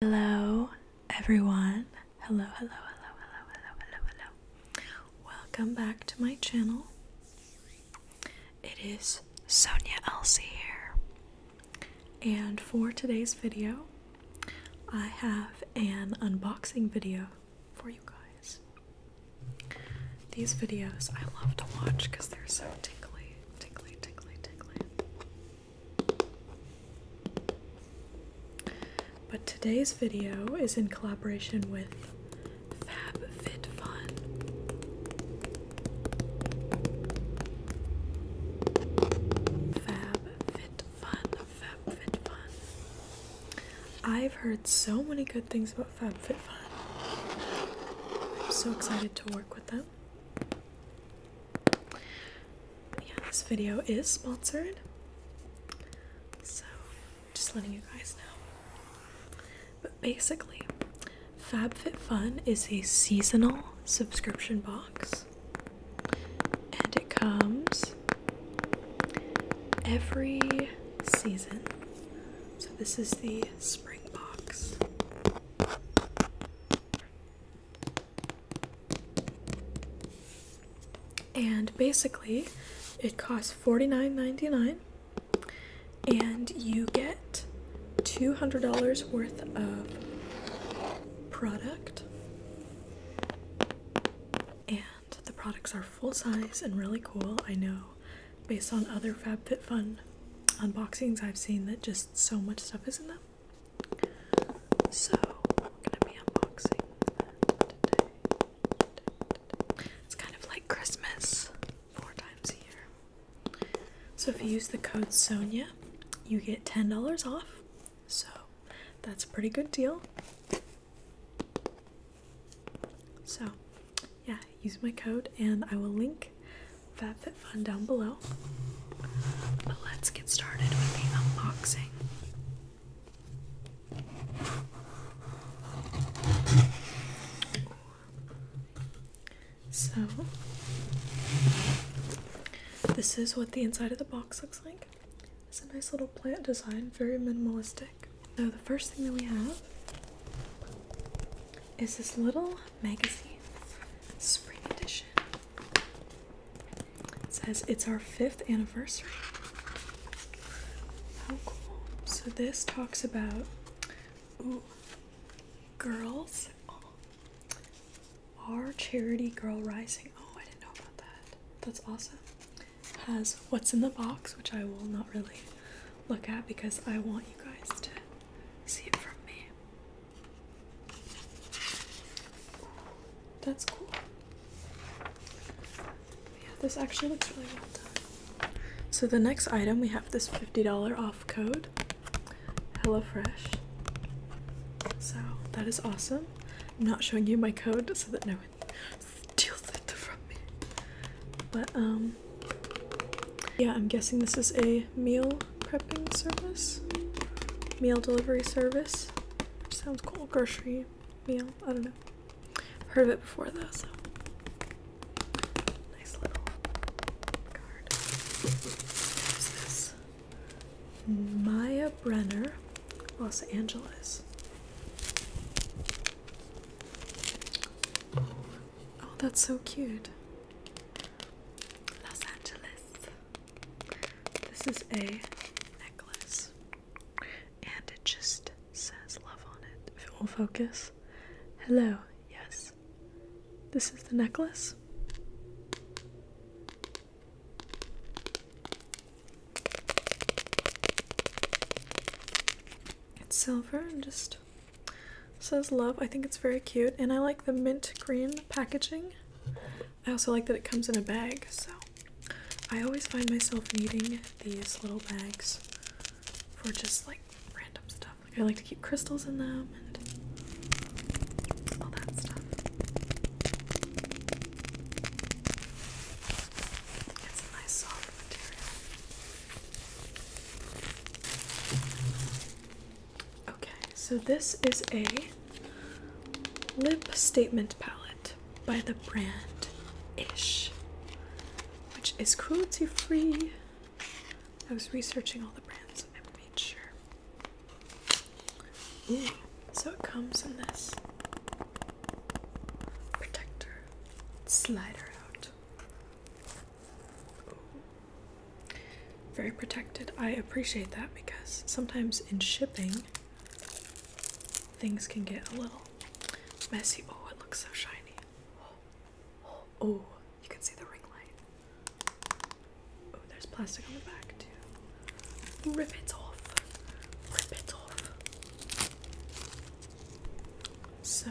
Hello, everyone. Hello, hello, hello, hello, hello, hello, hello. Welcome back to my channel. It is Sonia Elsie here. And for today's video, I have an unboxing video for you guys. These videos I love to watch because they're so tickly, tickly, tickly, tickly. But today's video is in collaboration with FabFitFun. FabFitFun, FabFitFun. I've heard so many good things about FabFitFun. I'm so excited to work with them yeah, this video is sponsored. So, just letting you guys know. But basically, FabFitFun is a seasonal subscription box, and it comes every season. So, this is the spring box. And basically, it costs $49.99, and you get $200 worth of product. And the products are full size and really cool. I know based on other FabFitFun unboxings, I've seen that just so much stuff is in them. So gonna be unboxing It's kind of like Christmas, four times a year. So if you use the code Sonia, you get ten dollars off. So that's a pretty good deal. So yeah, use my code, and I will link FabFitFun down below. But let's get started with the unboxing. So, this is what the inside of the box looks like. It's a nice little plant design, very minimalistic. So, the first thing that we have is this little magazine, spring edition. says it's our fifth anniversary. How cool! So this talks about girls. Oh, our charity girl rising. Oh, I didn't know about that. That's awesome. Has what's in the box, which I will not really look at because I want you guys to see it from me. that's cool. Yeah, this actually looks really well done. So the next item we have this $50 off code. HelloFresh. So that is awesome. I'm not showing you my code so that no one steals it from me. But um yeah, I'm guessing this is a meal prepping service, meal delivery service. sounds cool. Grocery meal. I don't know. heard of it before though. So nice little card. What's this? Maya Brenner, Los Angeles. Oh, that's so cute. Los Angeles. This is a necklace. And it just says love on it. If it will focus. Hello, yes. This is the necklace. It's silver and just it says love. I think it's very cute, and I like the mint green packaging. I also like that it comes in a bag, so I always find myself needing these little bags for just like random stuff. I like to keep crystals in them and all that stuff. It's a nice soft material. Okay, so this is a lip statement palette by the brand Ish, which is cruelty free. I was researching all the brands and made sure. So it comes in this protector slider out. Very protected. I appreciate that because sometimes in shipping, things can get a little messy. Oh, it looks so shiny. Oh, you can see the ring light. Oh, there's plastic on the back too. Rip it off. Rip it off. So,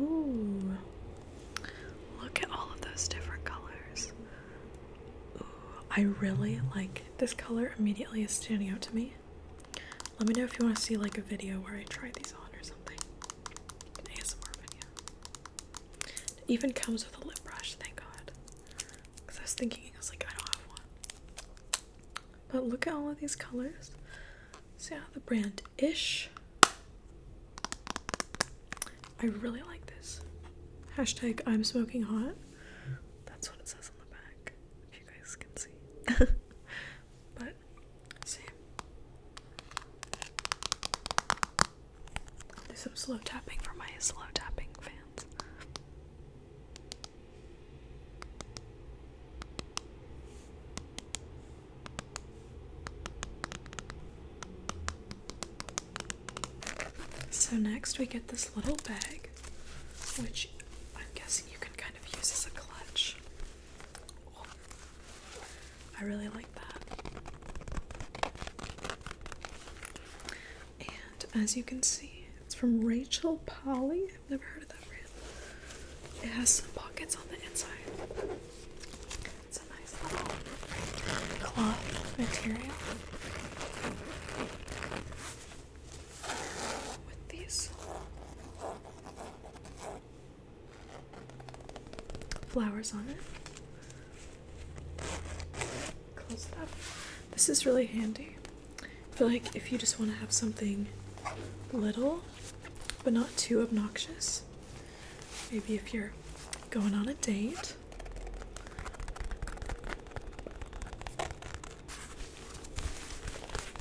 ooh, look at all of those different colors. Ooh, I really like this color. Immediately is standing out to me. Let me know if you want to see like a video where I try these on or something. An ASMR video. even comes with a lip brush. Thank God. Because I was thinking, I was like, I don't have one. But look at all of these colors. See how the brand Ish. I really like this. Hashtag I'm smoking hot. That's what it says on the back, if you guys can see. but same. Do some slow tapping for my slow tapping fans. So next we get this little bag, which I'm guessing you can kind of use as a clutch. I really like that. And as you can see, it's from Rachel Polly. I've never heard of that brand. It has some pockets on the inside. It's a nice little cloth material. With these flowers on it. Close it up. This is really handy. I feel like if you just want to have something little but not too obnoxious, maybe if you're going on a date.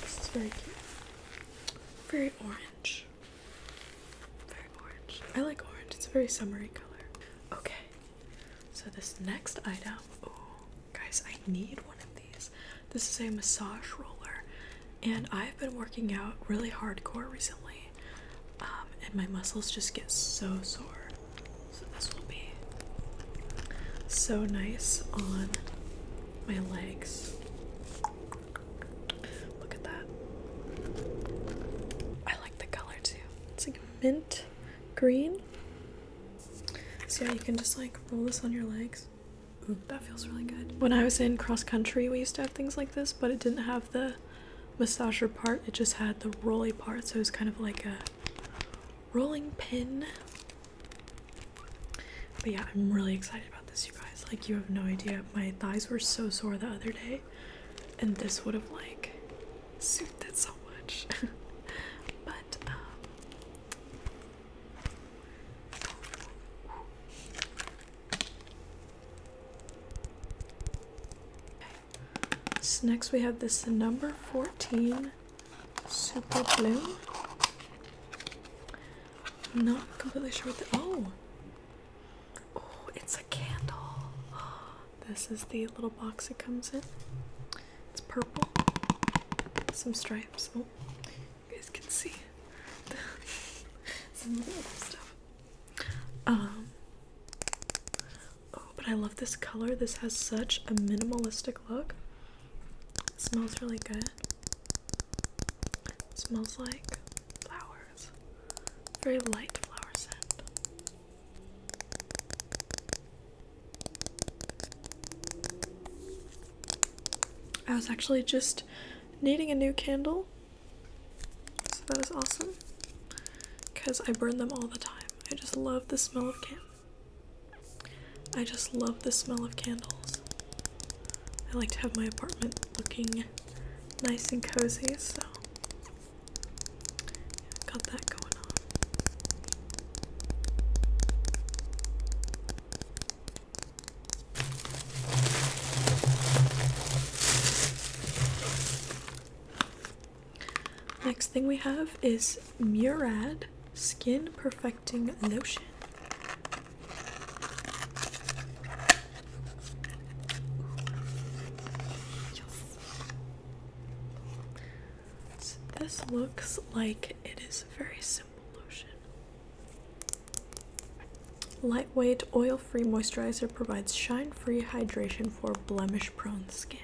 This is very cute. Very orange. Very orange. I like orange. It's a very summery color. Okay, so this next item, oh guys, I need one of these. This is a massage roller, and I've been working out really hardcore recently, um, and my muscles just get so sore. So this will be so nice on my legs. Look at that. I like the color too. It's like mint green. So yeah, you can just like roll this on your legs. that feels really good. When I was in cross country, we used to have things like this, but it didn't have the massager part. It just had the rolly part, so it was kind of like a rolling pin. But yeah, I'm really excited about this, you guys. Like, you have no idea. My thighs were so sore the other day, and this would have like soothed it so much. but um So next we have this number 14 super blue. I'm not completely sure what the oh. Oh, it's a candle. This is the little box it comes in. It's purple. Some stripes. Oh, you guys can see some little stuff. Um. Oh, but I love this color. This has such a minimalistic look. smells really good. smells like flower. Very light flower scent. I was actually just needing a new candle, so that is awesome because I burn them all the time. I just love the smell of candles. I just love the smell of candles. I like to have my apartment looking nice and cozy, so got that going on. Next thing we have is Murad Skin Perfecting Lotion this looks like it is a very simple lotion. Lightweight, oil free moisturizer provides shine free hydration for blemish prone skin.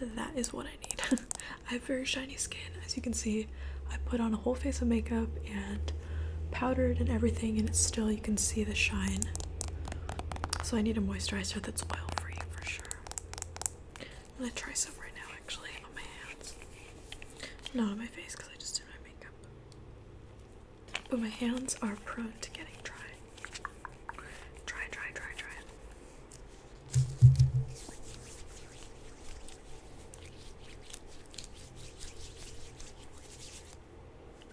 That is what I need. I have very shiny skin. As you can see, I put on a whole face of makeup and powdered and everything, and it's still, you can see the shine so I need a moisturizer that's oil free for sure. I'm gonna try some right now actually on my hands. Not on my face because I just did my makeup. But my hands are prone to getting dry. Dry, dry, dry, dry.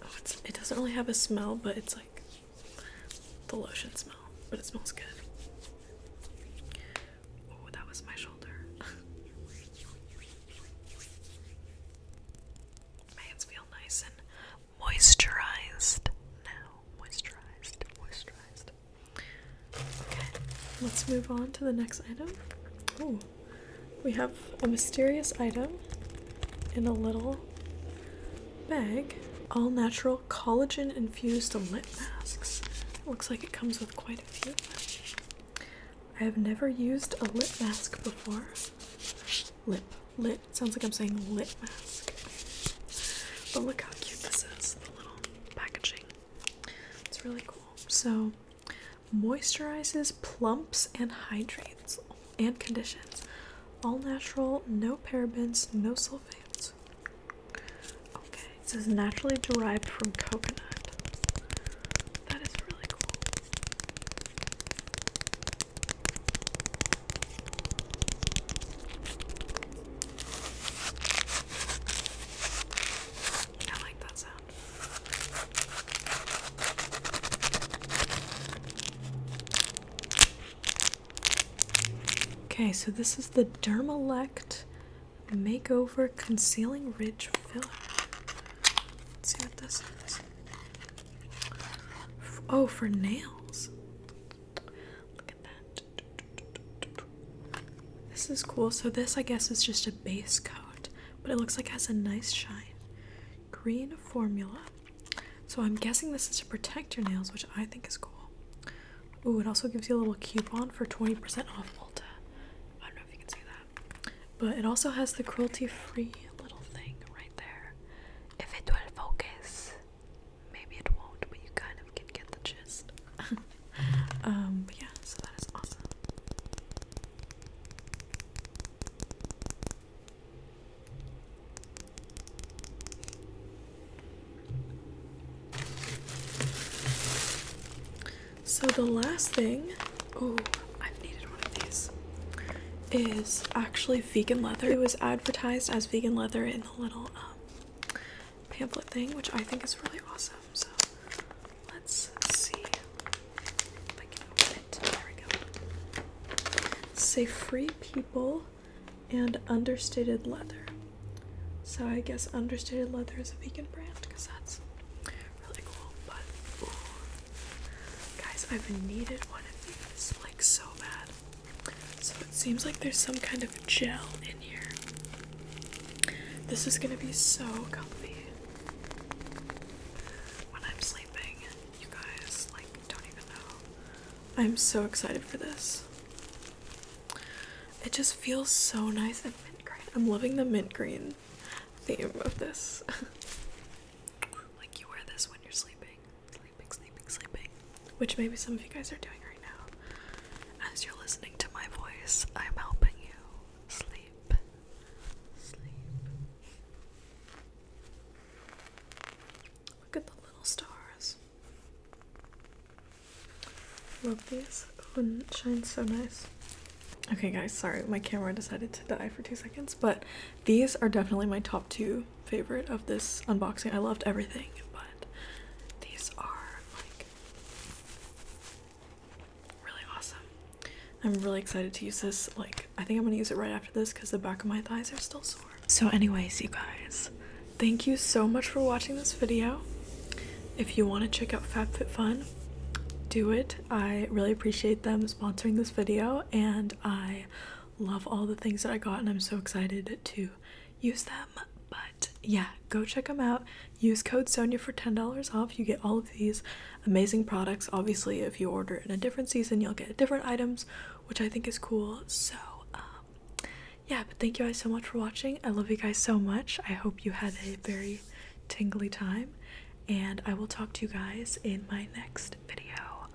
Oh, it doesn't really have a smell, but it's like the lotion smell. But it smells good. Oh, that was my shoulder. my hands feel nice and moisturized now. Moisturized, moisturized. Okay, let's move on to the next item we have a mysterious item in a little bag. All natural collagen infused lip masks. looks like it comes with quite a few. I have never used a lip mask before. Lip. Lip. Sounds like I'm saying lip mask. But look how cute this is. The little packaging. It's really cool. So moisturizes, plumps, and hydrates and conditions. All natural, no parabens, no sulfates. Okay, it says naturally derived from coconut. That is really cool. I like that sound. Okay, so this is the Dermalect Makeover Concealing Ridge Filler. see what this is. Oh, for nails. Look at that. This is cool. So, this, I guess, is just a base coat but it looks like it has a nice shine. Green formula. So I'm guessing this is to protect your nails, which I think is cool. Ooh, it also gives you a little coupon for 20% off Ulta. I don't know if you can see that. But it also has the cruelty-free little thing right there. If it will focus, maybe it won't, but you kind of can get the gist. um, yeah, so that is awesome. So the last thing, oh, I've needed one of these, is actually vegan leather. It was advertised as vegan leather in the little um, pamphlet thing, which I think is really awesome. So let's see I can open it. There we go. Say free people and understated leather. So I guess understated leather is a vegan brand because that's really cool. But guys, I've needed one of these like so bad. So it seems like there's some kind of gel in here. This is gonna be so comfy when I'm sleeping. You guys, like, don't even know. I'm so excited for this. It just feels so nice and mint green. I'm loving the mint green theme of this. like, you wear this when you're sleeping. Sleeping, sleeping, sleeping. Which maybe some of you guys are doing now. As you're listening to my voice, I'm helping you sleep. Sleep. Look at the little stars. Love these. Oh, and it shines so nice. Okay, guys, sorry, my camera decided to die for two seconds, but these are definitely my top two favorite of this unboxing. I loved everything, but these are like Really awesome. I'm really excited to use this. Like, I think I'm gonna use it right after this because the back of my thighs are still sore. So, anyways, you guys, thank you so much for watching this video. If you want to check out FabFitFun, do it. I really appreciate them sponsoring this video and I love all the things that I got and I'm so excited to use them. But yeah, go check them out. Use code Sonia for $10 off. You get all of these amazing products. Obviously, if you order in a different season, you'll get different items, which I think is cool. So, um, yeah, but thank you guys so much for watching. I love you guys so much. I hope you had a very tingly time, and I will talk to you guys in my next video.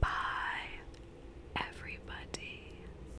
Bye, everybody.